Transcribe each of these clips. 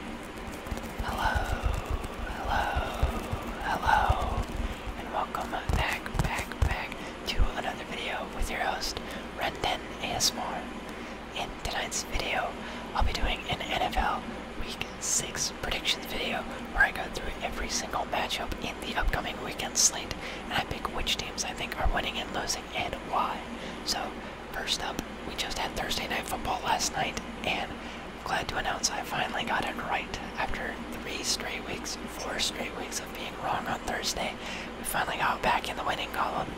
Hello, hello, hello, and welcome back, back, back to another video with your host, Renden ASMR. In tonight's video, I'll be doing an NFL Week 6 predictions video where I go through every single matchup in the upcoming weekend slate and I pick which teams I think are winning and losing and why. So First up, we just had Thursday Night Football last night, and I'm glad to announce I finally got it right. After three straight weeks, four straight weeks of being wrong on Thursday, we finally got back in the winning column,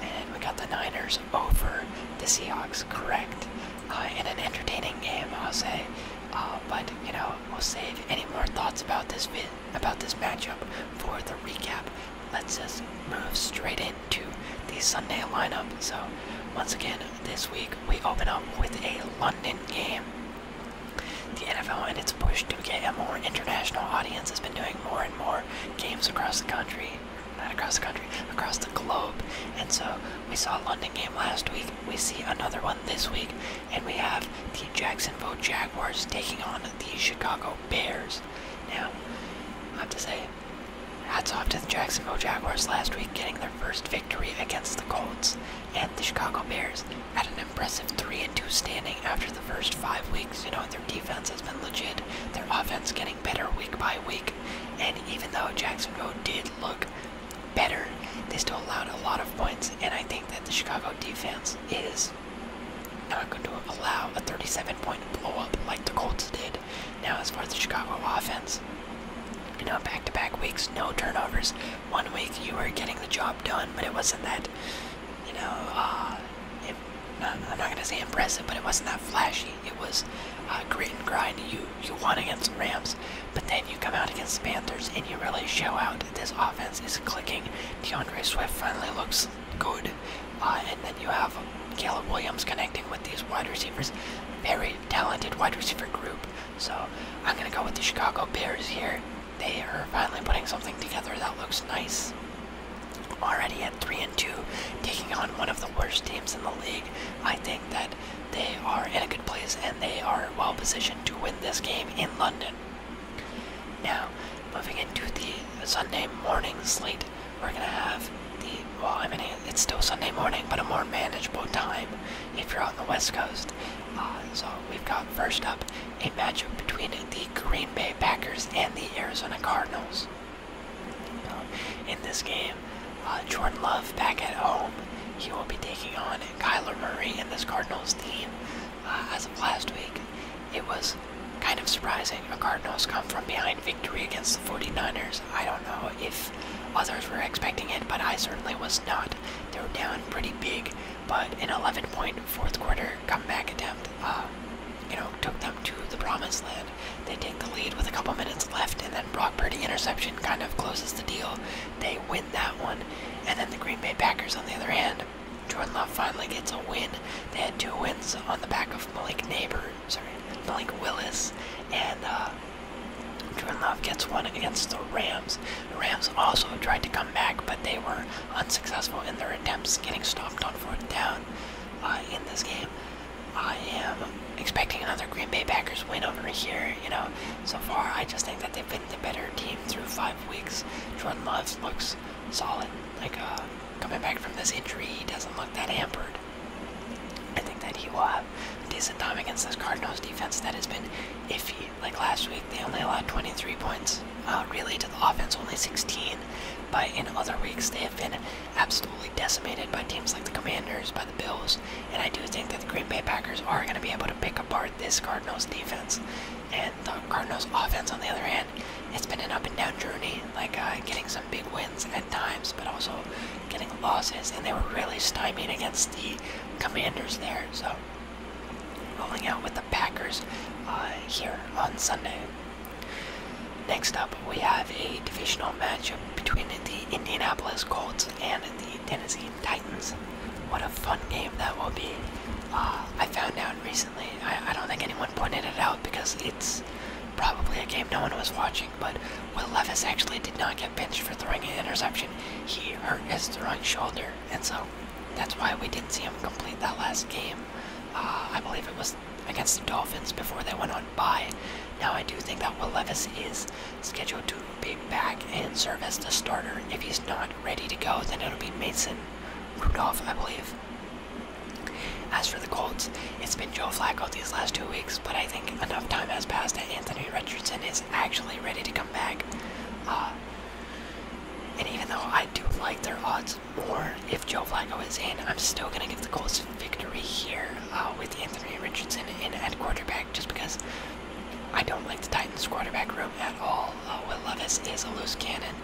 and we got the Niners over the Seahawks correct uh, in an entertaining game, I'll say. Uh, but you know, we'll save any more thoughts about this about this matchup for the recap. Let's just move straight in to the Sunday lineup. So, once again, this week we open up with a London game. The NFL and its push to get a more international audience has been doing more and more games across the country. Not across the country, across the globe. And so we saw a London game last week. We see another one this week. And we have the Jacksonville Jaguars taking on the Chicago Bears. Now, I have to say, game. off to the Jacksonville Jaguars last week getting their first victory against the Colts and the Chicago Bears at an impressive 3-2 standing after the first five weeks. You know, their defense has been legit, their offense getting better week by week, and even though Jacksonville did look better, they still allowed a lot of points, and I think that the Chicago defense is not going to allow a 37 point blowup like the Colts did did. Now, as far as the Chicago offense, you know, back to back weeks, no turnovers. One week you were getting the job done, but it wasn't that, you know, uh, it, uh, I'm not going to say impressive, but it wasn't that flashy. It was uh, grit and grind. You, you won against the Rams, but then you come out against the Panthers and you really show out. This offense is clicking. DeAndre Swift finally looks good. Uh, and then you have Caleb Williams connecting with these wide receivers. Very talented wide receiver group. So I'm going to go with the Chicago Bears here. They are finally putting something together that looks nice. Already at 3 and 2, taking on one of the worst teams in the league. I think that they are in a good place and they are well positioned to win this game in London. Now, moving into the Sunday morning slate, we're gonna have the well, I mean it's still Sunday morning, but a more manageable time if you're on the West Coast. Uh, so we've got first up a matchup between the Green Bay Packers and the Arizona Cardinals. Uh, in this game, uh, Jordan Love back at home. He will be taking on Kyler Murray and the Cardinals team. as of last week, it was kind of surprising. San Cardinals come from behind victory against the 49ers. I don't know if others were expecting it, but I certainly was not. They were down pretty big, but an 11 point fourth quarter comeback attempt, uh, you know, took them to the promised land. They take the lead with a couple minutes left, and then Brock Purdy interception kind of closes the deal. They win that one, and then the Green Bay Packers, on the other hand, Jordan Love finally gets a win. They had two wins on the back of Malik Neighbor sorry, Blake Willis, and uh, Jordan Love gets one against the Rams. The Rams also tried to come back, but they were unsuccessful in their attempts, getting stopped on fourth down uh, in this game. I am expecting another Green Bay Packers win over here. You know, so far I just think that they've been the better team through five weeks. Jordan Love looks solid, like uh, coming back from this injury, he doesn't look that hampered. I think that he will have decent time against this Cardinals defense that has been iffy. Like last week, they only allowed 23 points, uh, really, to the offense, only 16. But in other weeks, they have been absolutely decimated by teams like the Commanders, by the Bills. And I do think that the Green Bay Packers are going to be able to pick apart this Cardinals defense. And the Cardinals offense, on the other hand, it's been an up and down journey, like uh, getting some big wins at times, but also getting losses, and they were really stymied against the Commanders there. So rolling out with the Packers uh, here on Sunday. Next up, we have a divisional matchup between the Indianapolis Colts and the Tennessee Titans. What a fun game that will be! Uh, I found out recently. I don't think anyone pointed it out because it's probably a game no one was watching, but Will Levis actually did not get benched for throwing an interception. He hurt his throwing shoulder, and so that's why we didn't see him complete that last game. Uh, I believe it was against the Dolphins before they went on bye. Now I do think that Will Levis is scheduled to be back and serve as the starter. If he's not ready to go, then it'll be Mason Rudolph, I believe. As for the Colts, it's been Joe Flacco these last two weeks, but I think enough time has passed that Anthony Richardson is actually ready to come back. Uh, and even though I do like their odds more if Joe Flacco is in, I'm still going to give the Colts victory here uh, with Anthony Richardson in at quarterback just because I don't like the Titans quarterback room at all. Uh, Will Levis is a loose cannon.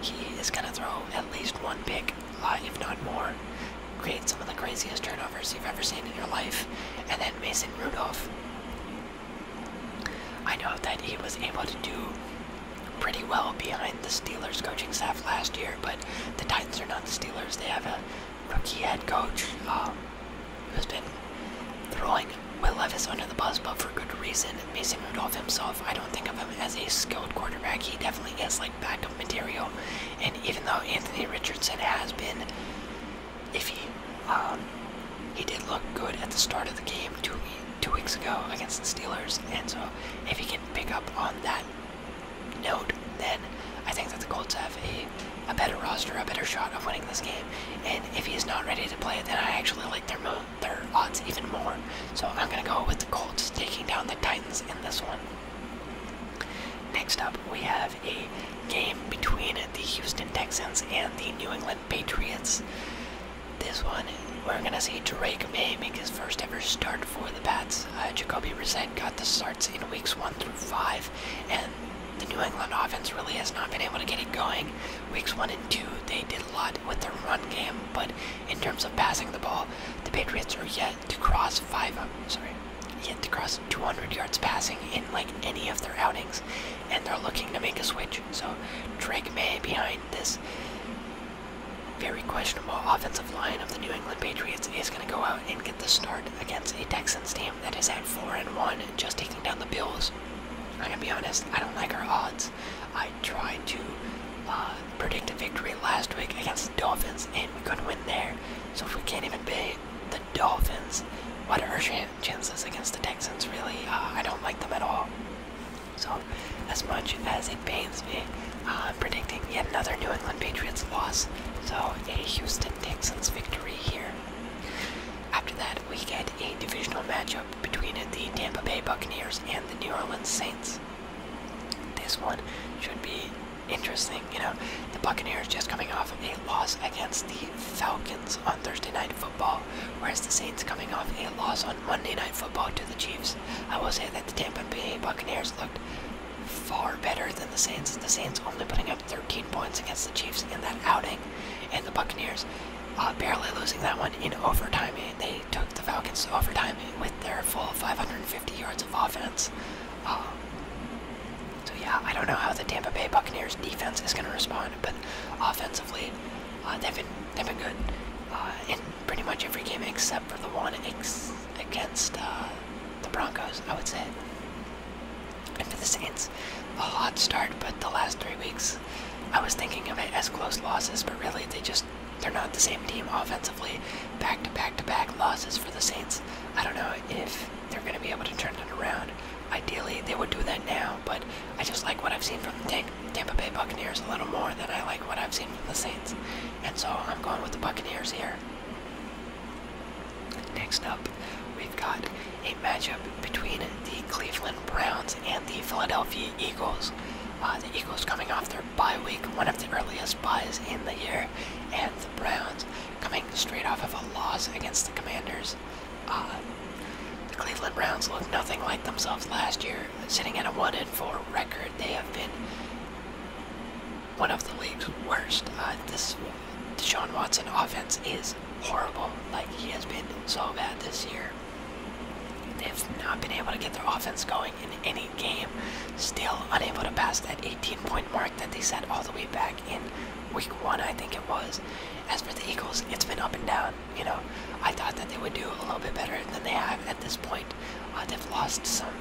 He is going to throw at least one pick uh, if not more, create some of the craziest turnovers you've ever seen in your life. And then Mason Rudolph, I know that he was able to do pretty well behind the Steelers coaching staff last year, but the Titans are not the Steelers. They have a rookie head coach um, who's been throwing Will Levis under the bus, but for good reason. Mason Rudolph himself, I don't think of him as a skilled quarterback. He definitely is like Back up material. And even though Anthony Richardson has been, if he, um, he did look good at the start of the game two weeks ago against the Steelers, and so if he can pick up on that note, then I think that the Colts have a, better roster, a better shot of winning this game. And if he is not ready to play, then I actually like their their odds even more. So I'm gonna go with the Colts taking down the Titans in this one. Next up, we have a game between the Houston Texans and the New England Patriots. This one, we're going to see Drake May make his first ever start for the Pats. Uh, Jacoby Brissett got the starts in weeks one through five, and the New England offense really has not been able to get it going. Weeks one and two, they did a lot with their run game, but in terms of passing the ball, the Patriots are yet to cross five sorry, yet to cross 200 yards passing in like any of their outings, and they're looking to make a switch. So Drake May behind this very questionable offensive line of the New England Patriots is going to go out and get the start against a Texans team that is at four and one, and just taking down the Bills. I'm gonna be honest, I don't like our odds. I tried to uh, predicted victory last week against the Dolphins, and we couldn't win there. So if we can't even beat the Dolphins, what are our chances against the Texans? Really, uh, I don't like them at all. So, as much as it pains me, I'm uh, predicting yet another New England Patriots loss. So, a Houston Texans victory here. After that, we get a divisional matchup between the Tampa Bay Buccaneers and the New Orleans Saints. This one should be interesting. You know, the Buccaneers just coming off a loss against the Falcons on Thursday Night Football, whereas the Saints coming off a loss on Monday Night Football to the Chiefs. I will say that the Tampa Bay Buccaneers looked far better than the Saints. The Saints only putting up 13 points against the Chiefs in that outing, and the Buccaneers uh, barely losing that one in overtime. They took the Falcons overtime with their full 550 yards of offense. Um, so yeah, I don't know how the Tampa Bay Buccaneers defense is going to respond, but offensively, uh, they've been they've been good uh, in pretty much every game except for the one ex against uh, the Broncos. I would say, and for the Saints, a hot start, but the last three weeks, I was thinking of it as close losses, but really they just they're not the same team offensively. Back to back to back losses for the Saints. I don't know if they're going to be able to turn it around. Ideally, they would do that now, but I just like what I've seen from the Tampa Bay Buccaneers a little more than I like what I've seen from the Saints. And so I'm going with the Buccaneers here. Next up, we've got a matchup between the Cleveland Browns and the Philadelphia Eagles. Uh, the Eagles coming off their their bye week, one of the earliest buys in the year, and the Browns coming straight off of a loss against the Commanders. Uh, the Cleveland Browns look nothing like themselves last year, sitting at a 1 4 record. They have been one of the league's worst. Uh, this Deshaun Watson offense is horrible. Like, he has been so bad this year. They've not been able to get their offense going in any game. Still unable to pass that 18 point mark that they set all the way back in week one, I think it was. As for the Eagles, it's been up and down. You know, I thought that they would do a little bit better than they have at this point. Uh, they've lost some.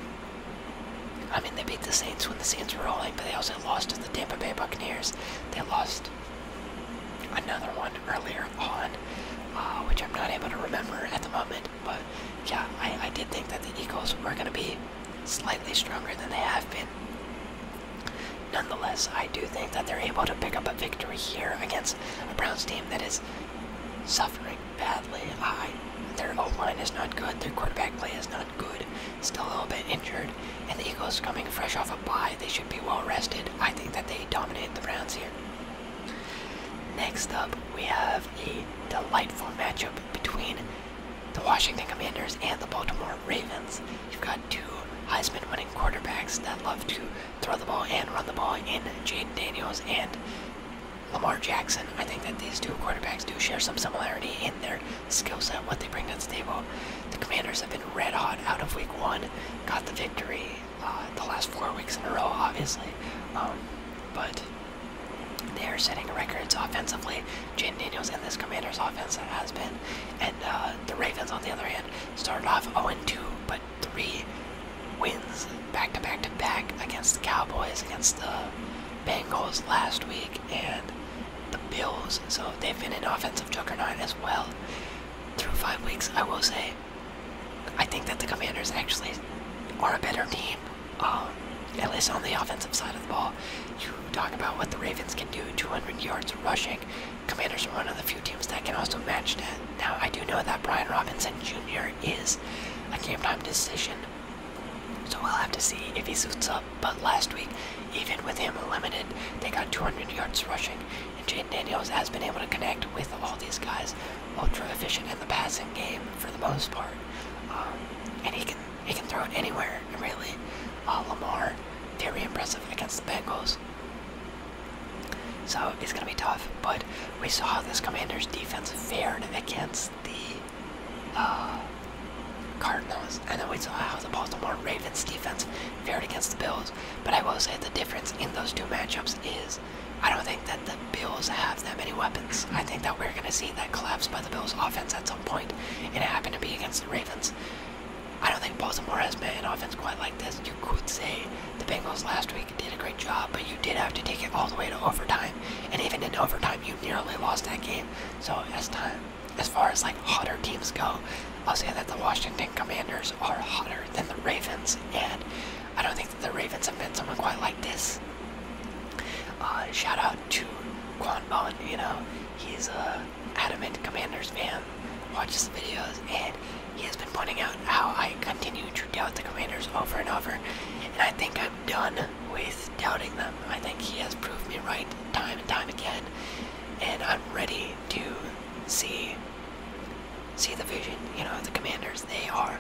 I mean, they beat the Saints when the Saints were rolling, but they also lost to the Tampa Bay Buccaneers. They lost another one earlier on, uh, which I'm not able to remember at the moment. But yeah, I, did think that the Eagles were going to be slightly stronger than they have been. Nonetheless, I do think that they're able to pick up a victory here against a Browns team that is suffering badly. I, their O line is not good, their quarterback play is not good, still a little bit injured, and the Eagles coming fresh off a bye, they should be well rested. I think that they dominate the Browns here. Next up, we have have a delightful matchup between the Washington Commanders and the Baltimore Ravens. You've got two Heisman winning quarterbacks that love to throw the ball and run the ball in Jaden Daniels and Lamar Jackson. I think that these two quarterbacks do share some similarity in their skill set, what they bring to the table. The Commanders have been red hot out of week one, got the victory uh, the last four weeks in a row, obviously. Um, but they are setting records offensively. Jaden Daniels and this Commanders offense has been, and uh, the Ravens on the other hand started off 0-2, but three wins back to back to back against the Cowboys, against the Bengals last week, and the Bills. So they've been an offensive juggernaut as well through five weeks. I will say, I think that the Commanders actually are a better team um, at least on the offensive side of the ball. You talk about what the Ravens can do 200 yards rushing. Commanders are one of the few teams that can also match that. Now, I do know that Brian Robinson Jr. is a game time decision, so we'll have to see if he suits up. But last week, even with him limited, they got 200 yards rushing, and Jaden Daniels has been able to connect with all these guys, ultra efficient in the passing game for the most part. Um, and he can he can throw it anywhere. And really, uh, Lamar, very impressive against the Bengals. So it's gonna be tough. But we saw how this Commanders defense fared against the uh, Cardinals, and then we saw how the Baltimore Ravens defense fared against the Bills. But I will say the difference in those two matchups is I don't think that the Bills have that many weapons. I think that we're going to see that collapse by the Bills offense at some point. It happened to be against the Ravens. I don't think Baltimore has made an offense quite like this. You could say the Bengals last week did a great job, but you did have to take it all the way to overtime. And even in overtime, you nearly lost that game. So as time, as far as like hotter teams go, I'll say that the Washington Commanders are hotter than the Ravens, and I don't think the Ravens have been someone quite like this. Uh, shout out to Quan Bon, you know, he's a adamant Commanders fan, watches the videos, and he has been pointing out how I continue to doubt the Commanders over and over, and I think I'm done with doubting them. I think he has proved me right time and time again, and I'm ready to see see the vision. You know, the Commanders, they are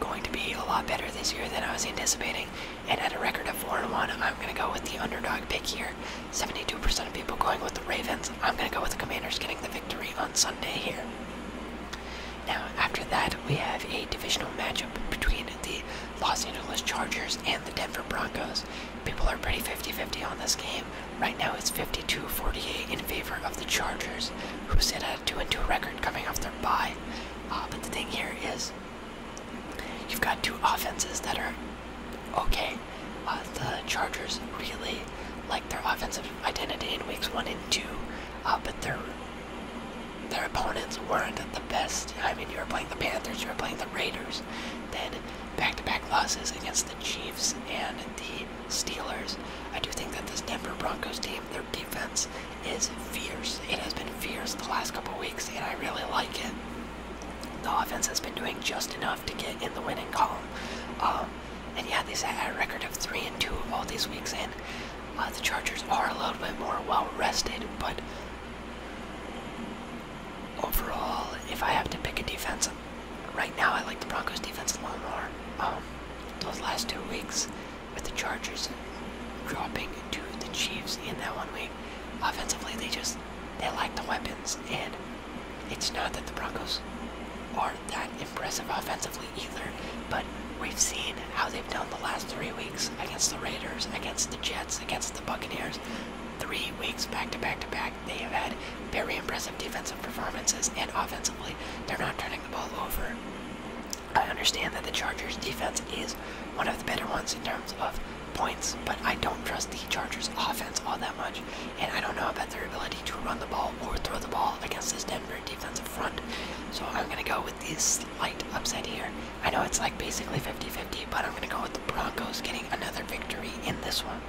going to be a lot better this year than I was anticipating. And at a record of 4 and 1, I'm going to go with the underdog pick here. 72% of people going with the Ravens. I'm going to go with the Commanders getting the victory on Sunday here. Now, after that, we have a divisional matchup between the Los Angeles Chargers and the Denver Broncos. People are pretty 50 50 on this game. Right now, it's 52 48 in favor of the Chargers, who sit at a 2 2 record coming off their bye. Uh, but the thing here is, you've got two offenses that are okay. Uh, the Chargers really like their offensive identity in weeks one and two, uh, but their their opponents weren't the best. I mean, you were playing the Panthers, you were playing the Raiders, then back-to-back -back losses against the Chiefs and the Steelers. I do think that this Denver Broncos team, their defense is fierce. It has been fierce the last couple weeks, and I really like it. The offense has been doing just enough to get in the winning column. Um, and yeah, they set a record of 3 and 2 all these weeks, and uh, the Chargers are a little bit more well rested, but overall, if I have to pick a defense, right now I like the Broncos defense a lot more. Um, those last two weeks, with the Chargers dropping to the Chiefs in that one week. Offensively, they just they like the weapons, and it's not that the Broncos are that impressive offensively either. But we've seen how they've done the last three weeks against the Raiders, against the Jets, against the Buccaneers. Three weeks back to back to back, they have had very impressive defensive performances, and offensively, they're not turning the ball over. I understand that the Chargers defense is one of the better ones in terms of points, but I don't trust the Chargers offense all that much, and I don't know about their ability to run the ball or throw the ball against this Denver defensive front. So I'm gonna go with this slight upset here. I know it's like basically 50-50, but I'm gonna go with the Broncos getting another victory in this one.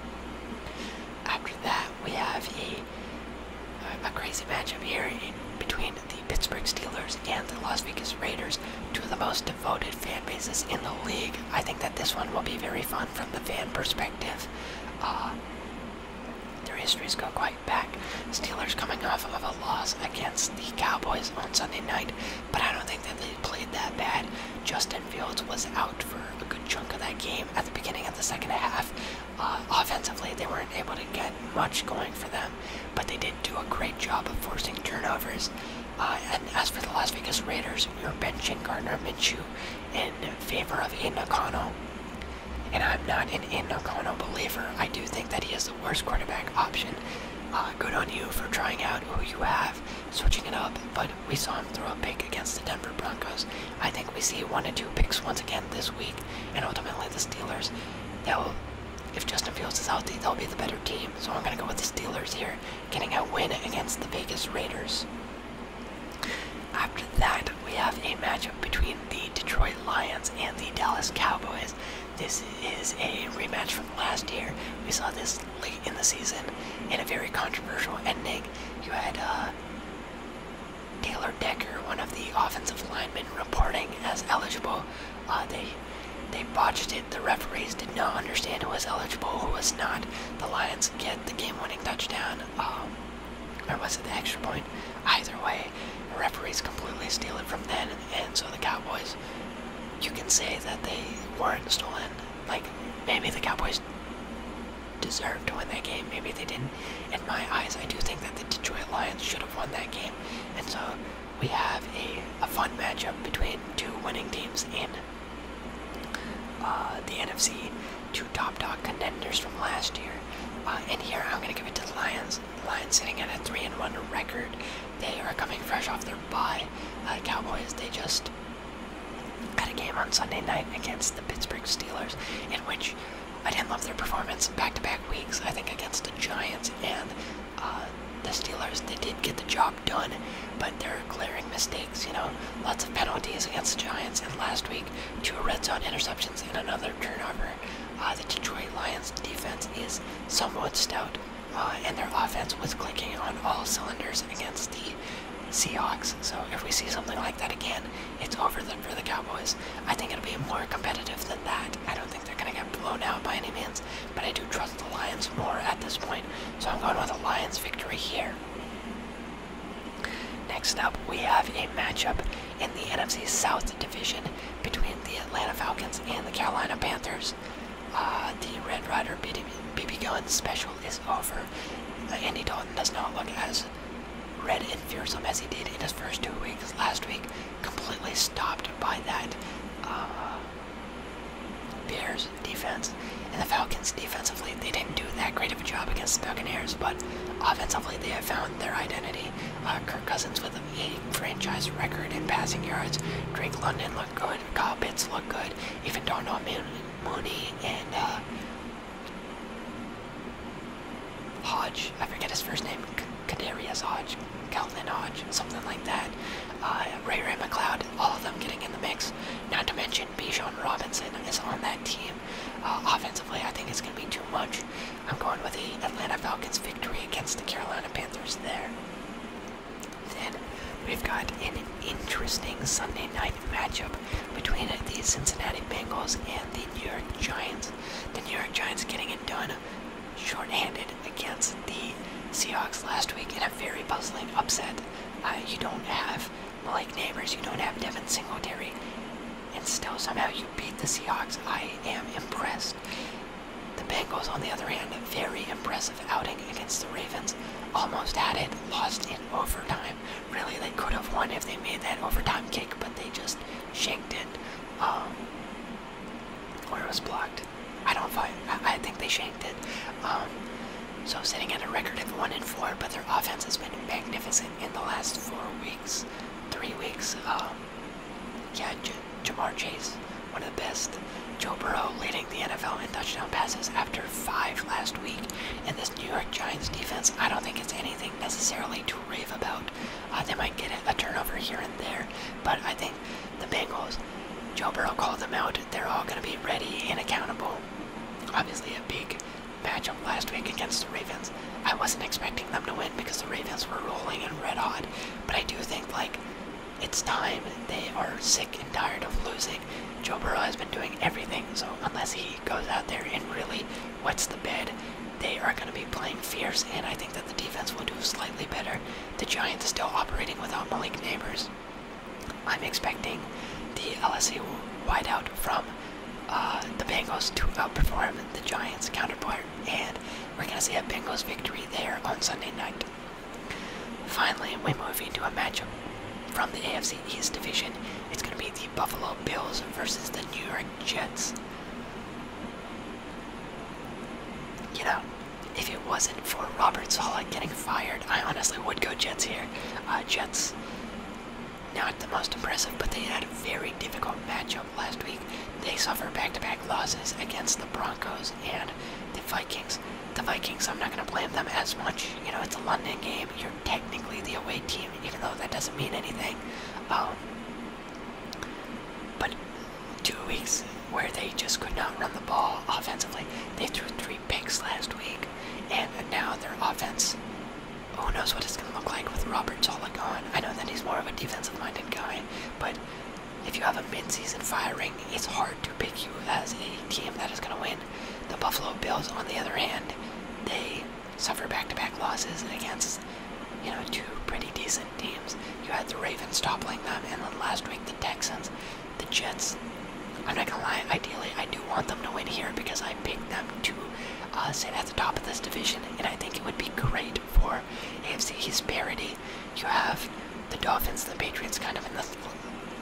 After that, we have a crazy crazy up here in between the Pittsburgh Steelers and the Las Vegas Raiders, two of the most devoted fan bases in the league. I think that this one will be very fun from the fan perspective. Uh, their histories go quite back. Steelers coming off of a loss against the Cowboys on Sunday night, but I don't think that they played that bad. Justin Fields was out for a good chunk of that game at the beginning of the second half. Uh, offensively, they weren't able to get much going for them but they did do a great job of forcing turnovers. Uh, and as for the Las Vegas Raiders, you're benching Gardner Minshew in favor of Inokano. And I'm not an Inokano believer. I do think that he is the worst quarterback option. Uh, good on you for trying out who you have, switching it up, but we saw him throw a pick against the Denver Broncos. I think we see one or two picks once again this week, and ultimately the Steelers. They'll if Justin Fields is healthy, they'll be the better team. So I'm going to go with the Steelers here, getting a win against the Vegas Raiders. After that, we have a matchup between the Detroit Lions and the Dallas Cowboys. This is a rematch from last year. We saw this late in the season in a very controversial ending. You had uh, Taylor Decker, one of the offensive linemen, reporting as eligible uh, they they botched it. The referees did not understand who was eligible, who was not. The Lions get the game-winning touchdown. Um, or was it the extra point? Either way, the referees completely steal it from them, and so the Cowboys. You can say that they weren't stolen. Like maybe the Cowboys deserved to win that game. Maybe they didn't. In my eyes, I do think that the Detroit Lions should have won that game, and so we have a, fun matchup between two winning teams in uh, the NFC, two top dog contenders from last year. Uh, and here I'm going to give it to the Lions. The Lions sitting at a 3 and 1 record. They are coming fresh off their bye. Uh, Cowboys, they just had a game on Sunday night against the Pittsburgh Steelers in which I didn't love their performance back-to-back weeks. I think against the Giants and uh, the Steelers, they did get the job done, but they're glaring mistakes. You know, lots of penalties against the Giants, and last week two red zone interceptions and another turnover. Uh, the Detroit Lions defense is somewhat stout, uh, and their offense was clicking on all cylinders against the Seahawks. So if we see something like that again, it's over then for the Cowboys. I think it'll be more competitive than that. I don't think they're going to get blown out by any means, but I do trust the Lions more at this point, so I'm going with a Lions victory here. Next up, we have a matchup in the NFC South division between the Atlanta Falcons and the Carolina Panthers. Uh, the Red Rider BB, Gun special is over. Uh, Andy Dalton does not look as red and fearsome as he did in his first two weeks last week, completely stopped by that uh, Bears defense. And the Falcons defensively, they didn't do that great of a job against the Buccaneers, but offensively, they have found their identity. Uh, Kirk Cousins with a franchise record in passing yards. Drake London looked good. Kyle Pitts looked good. Even Darnell Mooney and uh, Hodge, I forget his first name, Kadarius Hodge, Calvin Hodge, something like that. Uh, Ray Ray McLeod, all of them getting in the mix. Not to mention Bijan Robinson is on that team. Uh, offensively, I think it's going to be too much. I'm going with the Atlanta Falcons victory against the Carolina Panthers there. Then we've got an interesting Sunday night matchup between the Cincinnati Bengals and the New York Giants. The New York Giants getting in done shorthanded against the Seahawks last week in a very puzzling upset. Uh, you don't have Malik Neighbors, you don't have Devin Singletary, and still somehow you beat the Seahawks. I am impressed. The Bengals, on the other hand, a very impressive outing against the Ravens. Almost had it, lost in overtime. Really, they could have won if they made that overtime kick, but they just shanked it. Um, or it was blocked. I don't find. I, think they shanked it. Um, so sitting at a record of one and four, but their offense has been magnificent in the last four weeks, three weeks. Um, yeah, Jamar Chase, one of the best. Joe Burrow leading the NFL in touchdown passes after five last week. And this New York Giants defense, I don't think it's anything necessarily to rave about. Uh, they might get a turnover here and there, but I think the Bengals, Joe Burrow called them out. They're all going to be ready and accountable. Obviously, a big matchup last week against the Ravens. I wasn't expecting them to win because the Ravens were rolling and red hot, but I do think like it's time. They are sick and tired of losing. Joe Burrow has been doing everything, so unless he goes out there and really wets the bed they are going to be playing fierce, and I think that the defense will do slightly better. The Giants are still operating without Malik Neighbors. I'm expecting the LSU wideout from uh, the Bengals to outperform the Giants' counterpart, and we're going to see a Bengals victory there on Sunday night. Finally, we move into a matchup from the AFC East division. It's going to be the Buffalo Bills versus the New York Jets. You know, if it wasn't for Robert Sala getting fired, I honestly would go Jets here. Uh, Jets, not the most impressive, but they had a very difficult matchup last week. They suffered back-to-back losses against the Broncos and the Vikings. The Vikings, I'm not going to blame them as much. You know, it's a London game. You're technically the away team, even though that doesn't mean anything. Um, but two weeks where they just could not run the ball offensively. They threw three picks last week, and now their offense. Who knows what it's going to look like with Robert Zola gone? I know that he's more of a defensive-minded guy, but if you have a mid-season firing, it's hard to pick you as a team that is going to win. The Buffalo Bills, on the other hand, they suffer back to -back losses against, you know, two pretty decent teams. You had the Ravens toppling them, and then last week the Texans, the Jets. I'm not gonna lie. Ideally, I do want them to win here because I picked them to uh, sit at the top of this division, and I think it would be great for AFC East You have the Dolphins, the Patriots, kind of in the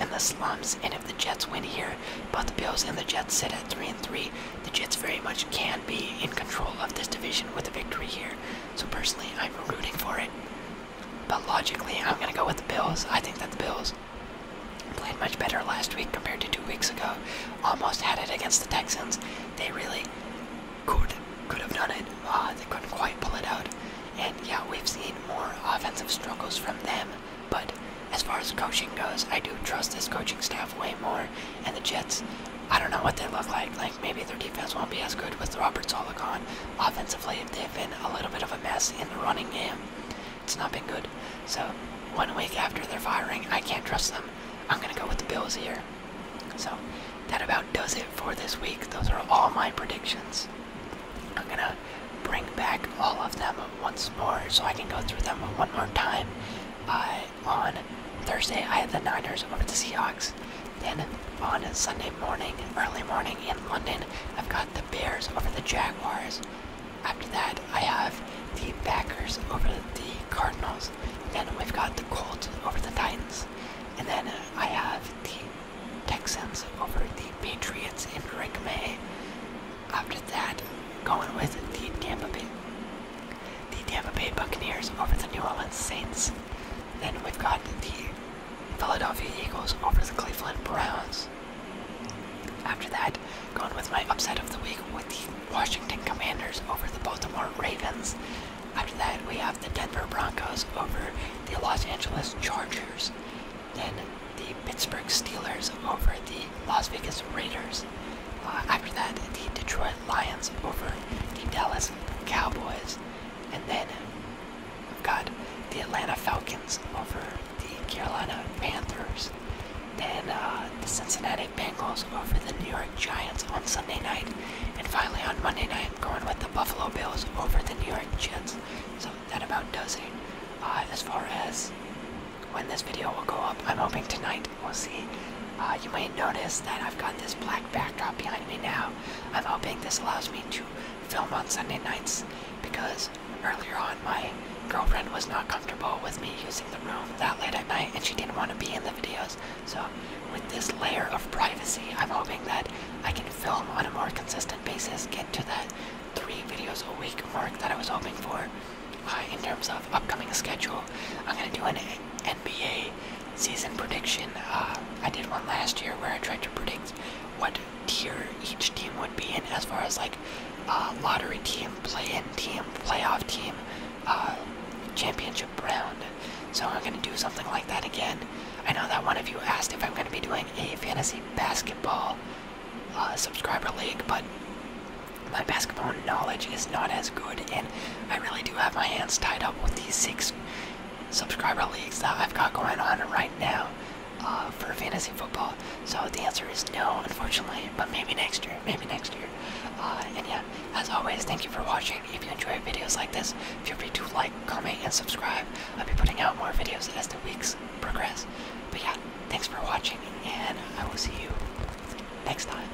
in the slums, and if the Jets win here, both the Bills and the Jets sit at three and three. The Jets very much can be in control of this division with a victory here. So personally, I'm rooting for it. But logically, I'm going to go with the Bills. I think that the Bills played much better last week compared to two weeks ago. Almost had it against the Texans. They really could could have done it. Uh, they couldn't quite pull it out. And yeah, we've seen more offensive struggles from them. But as far as coaching goes, I do trust this coaching staff way more. And the Jets I don't know what they look like. Like maybe their defense won't be as good with Robert Zola Offensively, they've been a little bit of a mess in the running game. It's not been good. So one week after their firing, I can't trust them. I'm gonna go with the Bills here. So that about does it for this week. Those are all my predictions. I'm gonna bring back all of them once more so I can go through them one more time. Bye on Thursday, I have the Niners over the Seahawks. Then on Sunday morning, early morning in London, I've got the Bears over the Jaguars. After that, I have the Packers over the Cardinals. Then we've got the Colts over the Titans. And then I have the Texans over the Patriots in Drake May. After that, going with the Tampa Bay the Tampa Bay Buccaneers over the New Orleans Saints. Then we've got the Philadelphia Eagles over the Cleveland Browns. After that, going with my upset of the week with the Washington Commanders over the Baltimore Ravens. After that, we have the Denver Broncos over the Los Angeles Chargers. Then the Pittsburgh Steelers over the Las Vegas Raiders. Uh, after that, the Detroit Lions over the Dallas Cowboys. And then we've got the Atlanta Falcons over the Carolina Panthers. Then uh, the Cincinnati Bengals over the New York Giants on Sunday night. And finally on Monday night, I'm going with the Buffalo Bills over the New York Jets. So that about does it. Uh, as far as when this video will go up, I'm hoping tonight we'll see uh, you may notice that I've got this black backdrop behind me now. I'm hoping this allows me to film on Sunday nights because earlier on my girlfriend was not comfortable with me using the room that late at night and she didn't want to be in the videos. So with this layer of privacy, I'm hoping that I can film on a more consistent basis, get to that three videos a week mark that I was hoping for. Uh, in terms of upcoming schedule, I'm going to do an NBA season prediction. Uh, I did one last year where I tried to predict what tier each team would be in as far as like uh, lottery team, play-in team, playoff team, uh, championship round. So I'm going to do something like that again. I know that one of you asked if I'm going to be doing a fantasy basketball subscriber league, but my basketball knowledge is not as good, and I really do have my hands tied up with these six subscriber leagues that I've got going on right now uh, for fantasy football. So the answer is no, unfortunately, but maybe next year, maybe next year. Uh, and yeah, as always, thank you for watching. If you enjoy videos like this, feel free to like, comment, and subscribe. I'll be putting out more videos as the weeks progress. But yeah, thanks for watching, and I will see you next time.